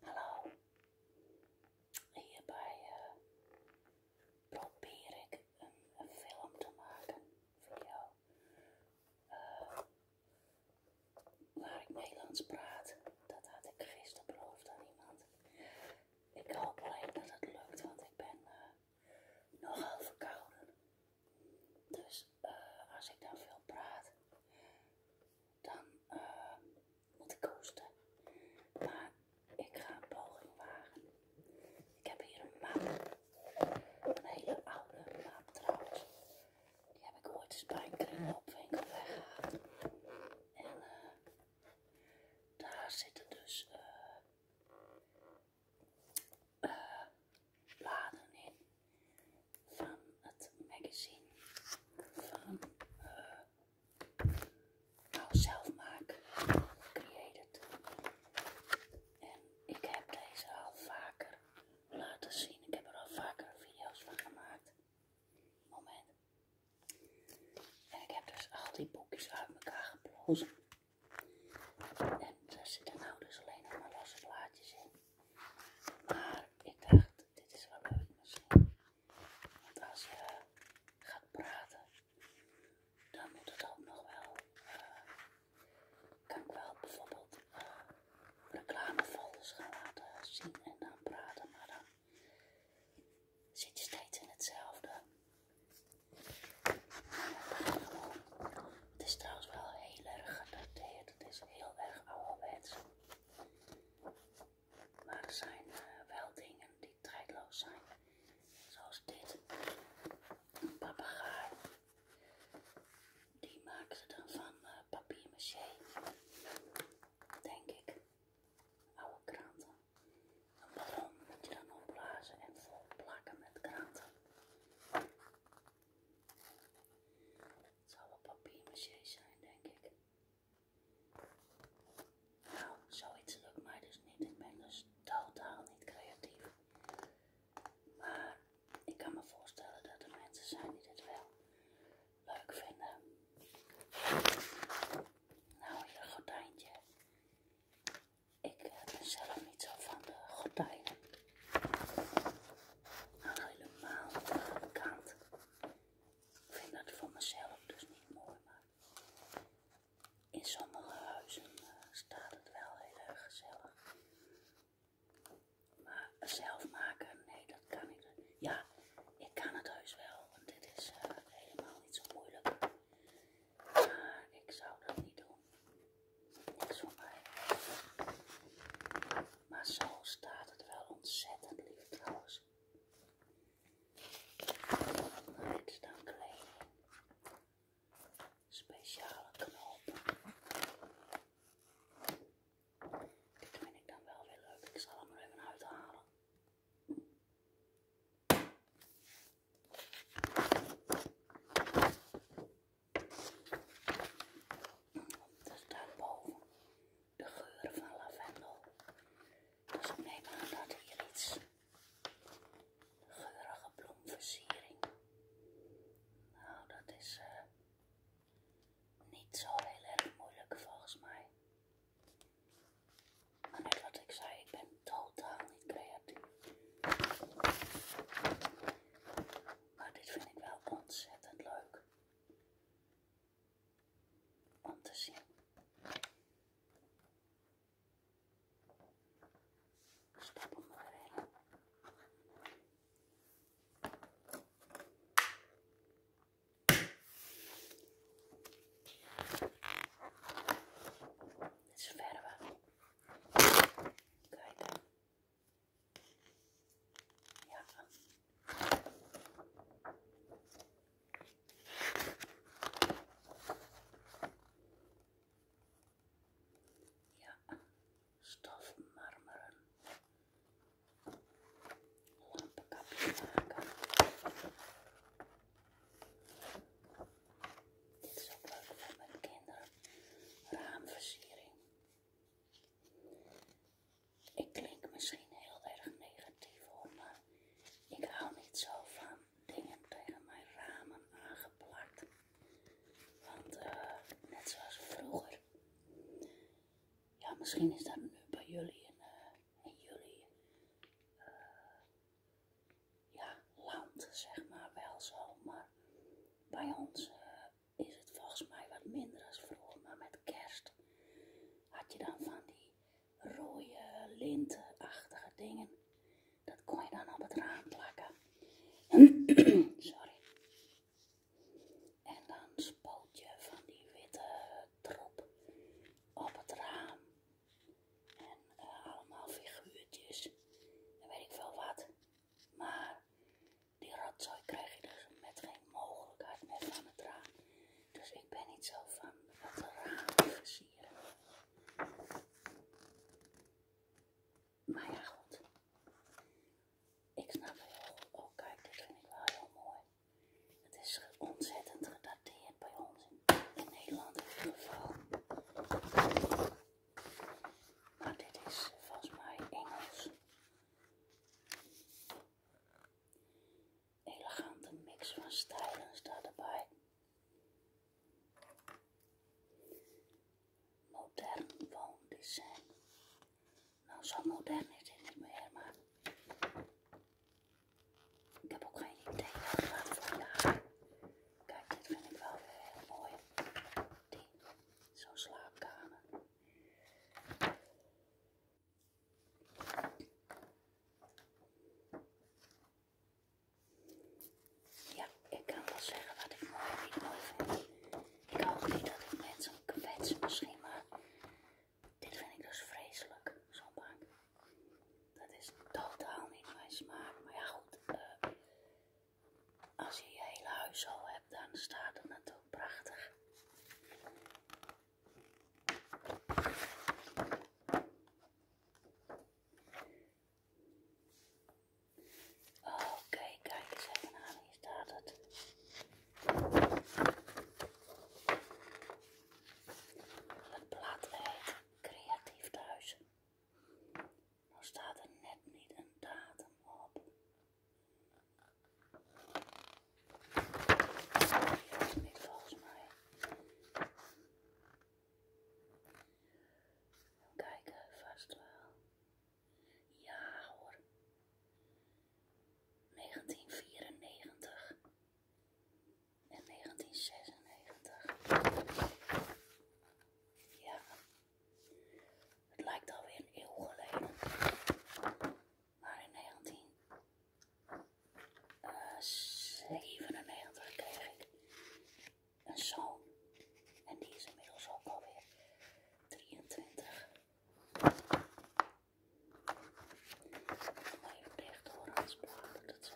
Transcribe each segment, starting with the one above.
Hallo, hierbij eh, probeer ik een, film te maken, voor jou, eh, waar ik Nederlands praat. Dat had ik gisteren beloofd aan iemand. Ik hoop alleen dat het lukt, want ik ben eh, nogal verkouden. Dus eh, als ik dan veel praat, dan eh moet ik kosten. Maar ik ga een poging wagen. Ik heb hier een map. Een hele oude map trouwens. Die heb ik ooit eens bij een kringloopwinkel weggehaald. En eh. daar zitten dus... eh, eh bladen in van het magazine van uh, nou, zelfmaak created. En ik heb deze al vaker laten zien. Ik heb er al vaker video's van gemaakt. Moment. En ik heb dus al die boekjes uit elkaar geplozen. En er zitten nou dus alleen nog maar losse plaatjes in. Maar ik dacht, dit is wel leuk misschien. Want als je gaat praten, dan moet het ook nog wel. Eh, kan ik wel bijvoorbeeld uh, gaan laten zien en dan praten, maar dan zit je steeds in hetzelfde. Het is trouwens wel heel erg gedateerd het is heel erg ouderwets. Maar er zijn eh, wel dingen die tijdloos zijn. Zoals dit. Een papegaai. Die maken ze dan van eh, papier maché. Denk ik. Oude kranten. Een ballon moet je dan opblazen en vol plakken met kranten. Het zal wel papiermaché zijn, denk ik. Nou, zoiets lukt mij dus niet. Ik ben dus totaal niet creatief. Maar ik kan me voorstellen dat er mensen zijn die dit wel leuk vinden. Nou, hier een gordijntje. Ik eh, ben zelf niet zo van de gordijnen helemaal kant. Ik vind dat voor mezelf dus niet mooi, maar in sommige huizen staat het wel heel erg gezellig. Maar zelf maken, nee, dat kan ik Ja, ik kan het heus wel, want dit is helemaal niet zo moeilijk. Maar ik zou dat niet doen niks van mij. Maar zo staat het wel ontzettend lief trouwens. Maar dan kleding. Speciale knopen. Dit vind ik dan wel weer leuk. Ik zal hem er even uithalen. Dat is boven, De geuren van lavendel. Dus ik neem aan dat hier iets geurige bloemversiering. Nou, dat is eh, niet zo heel erg moeilijk volgens mij. Maar net wat ik zei, ik ben totaal niet creatief. Maar dit vind ik wel ontzettend leuk om te zien. Stap hem maar in. Dit is verder. Kijk. Ja. Ja, stof marmeren. Lampenkapje maken. Dit is ook leuk voor mijn kinderen. Raamversiering. Ik klink misschien heel erg negatief hoor, maar ik hou niet zo van dingen tegen mijn ramen aangeplakt. Want eh, net zoals vroeger. Ja, misschien is dat nu bij jullie en eh, jullie eh ja, land, zeg maar wel zo, maar bij ons eh, is het volgens mij wat minder als vroeger. Maar met kerst had je dan van die rode lintenachtige dingen. Dat kon je dan op het raam plakken. Sorry. En dan spoot je van die witte troep op het raam. En eh, allemaal figuurtjes. En weet ik veel wat. Maar die rotzooi krijg je dus met geen mogelijkheid meer van het raam. Dus ik ben niet zo van wat raam versieren. Maar ja, goed. Ik snap heel goed. Oh, kijk, dit vind ik wel heel mooi. Het is ontzettend gedateerd bij ons in, in Nederland in ieder geval. Maar nou, dit is volgens mij Engels. Elegante mix van stijlen staat erbij. Modern woondesign. Nou, zo modern is dit niet meer, maar ik heb ook geen idee wat gaat jaar Kijk, dit vind ik wel weer heel mooi. Die, zo'n slaapkamer. Ja, ik kan wel zeggen wat ik mooi niet vind. Ik hou niet dat ik mensen kwets misschien, maar dit vind ik dus vreselijk, zo'n bank. Dat is totaal niet mijn smaak. Maar ja, goed. Eh, als je je hele huis al hebt, dan staat het natuurlijk prachtig. Oké, kijk eens even aan. Hier staat het. Het plaat heet eh, Creatief Thuis. Nou staat er net niet een datum op. Dat volgens mij. Even kijken, vast wel. Ja hoor. 1994. In 1996. Ja, het lijkt alweer een eeuw geleden. Maar in 1997 eh, kreeg ik een zoon. En die is inmiddels ook alweer 23. Maar even dicht hoor, aansprakelijk dat zo.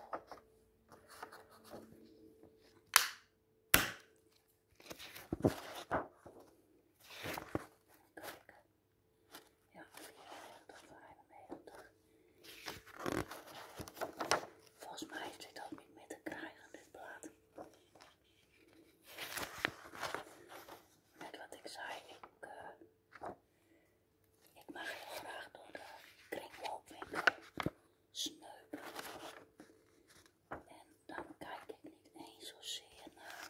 Ja, dat Volgens mij heeft hij dat niet meer te krijgen, dit plaat. Net wat ik zei, ik, eh, ik mag heel graag door de kringloopwinkel eh, sneupen. En dan kijk ik niet eens zozeer naar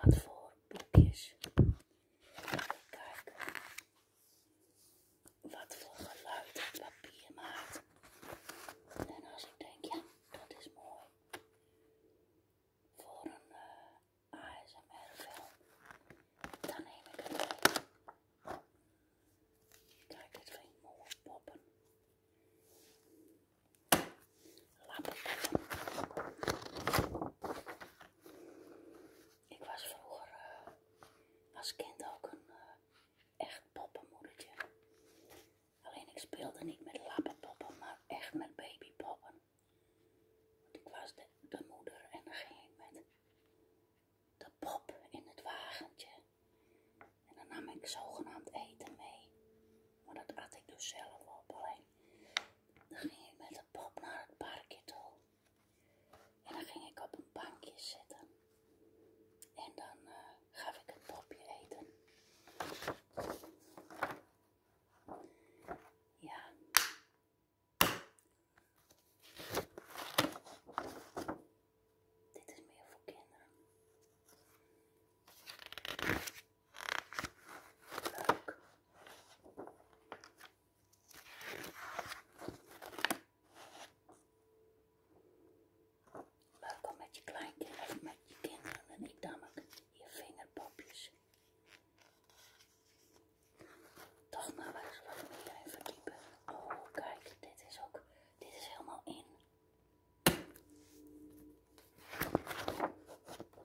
wat voor boekjes. Ik kijk wat voor geluid het papier maakt. En als ik denk, ja, dat is mooi. Voor een eh, ASMR film, dan neem ik het mee. Kijk, dit vind ik mooi poppen. Lappen. Ik was vroeger eh, als kind ook een eh, echt poppenmoedertje. Alleen ik speelde niet met lappenpoppen, maar echt met babypoppen ik was de, moeder en dan ging ik met de pop in het wagentje. En dan nam ik zogenaamd eten mee. Maar dat at ik dus zelf op. Alleen dan ging ik met de pop naar het parkje toe. En dan ging ik op een bankje zitten. En dan eh, gaf ik het popje eten. Ja, dit is meer voor kinderen. Leuk. Welkom met je kleintje of met je kinderen en ik namelijk je vingerpopjes toch maar waar zal ik hierin verdiepen? Oh, kijk, dit is ook, dit is helemaal in.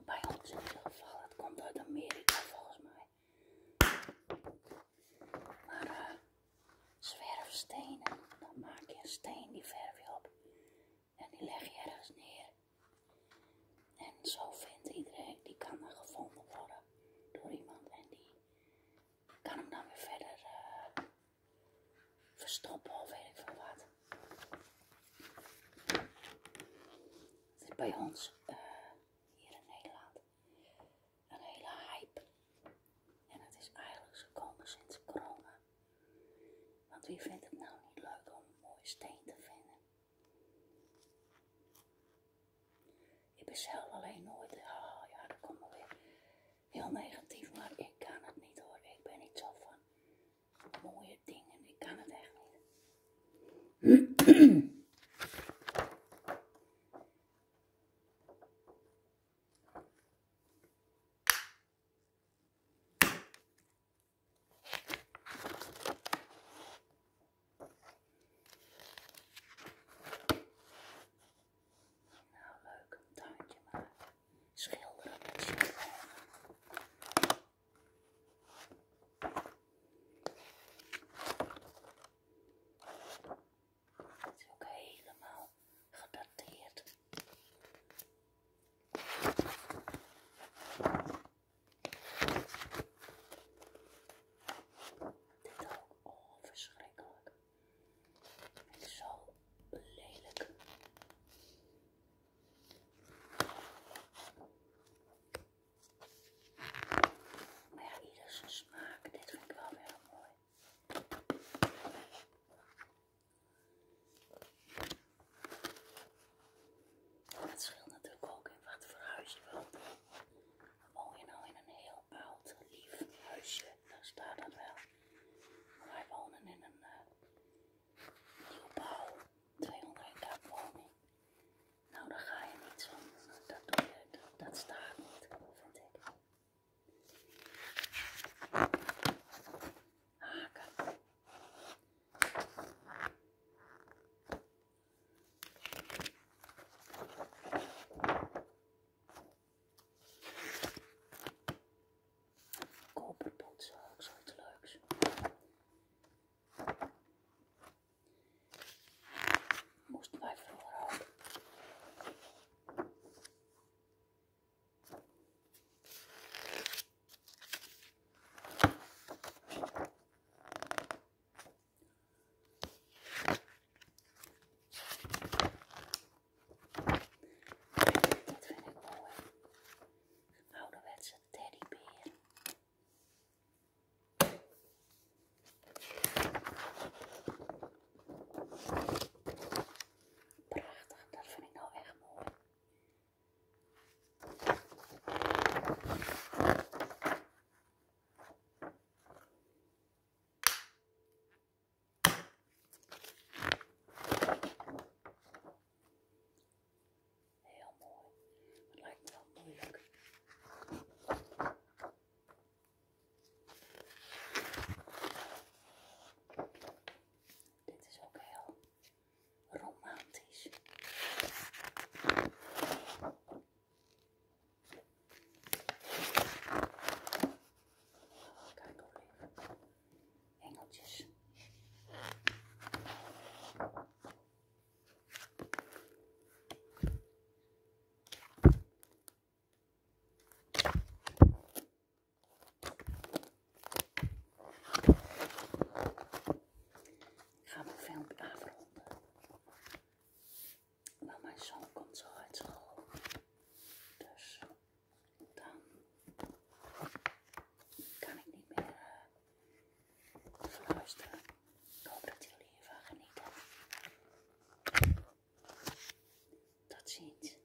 Bij ons in ieder geval, het komt uit Amerika volgens mij. Maar eh, zwerfstenen, dan maak je een steen, die verf je op en die leg je ergens neer. En zo vindt iedereen, die kan dan gevonden worden door iemand en die kan hem dan weer verder eh, verstoppen of weet ik veel wat. Het is bij ons eh, hier in Nederland een hele hype. En het is eigenlijk gekomen sinds corona. Want wie vindt het nou niet leuk om een mooie steen te vinden? Ik ben zelf alleen nooit, oh ja, dat komt wel weer heel negatief, maar ik kan het niet hoor. Ik ben niet zo van mooie dingen, ik kan het echt niet. Nou, leuk, een tuintje maken. schilderen. Het is ook helemaal gedateerd. Dit ook. verschrikkelijk. Het is zo lelijk. Maar ja, ieder smaak. Dit vind ik wel weer mooi. Het scheelt natuurlijk ook in wat voor huis je woont. Woon je nou in een heel oud, lief huisje, dan staat dat wel. Maar wij wonen in een uh, nieuwbouw, 201 woning. Nou, daar ga je niet zo. Dat doe je, dat, staat niet, vind ik. Haken. Koperpotsen, ook zoiets leuks. Dit vind ik mooi. zijn teddybeer. Prachtig, dat vind ik nou echt Heel mooi. Dat lijkt me Dit is ook heel romantisch. Engeltjes. Ik ga mijn filmpje afronden. Want mijn zoon komt zo uit school. Dus dan kan ik niet meer uh, eh, fluisteren. Ik hoop dat jullie hiervan genieten. Tot ziens.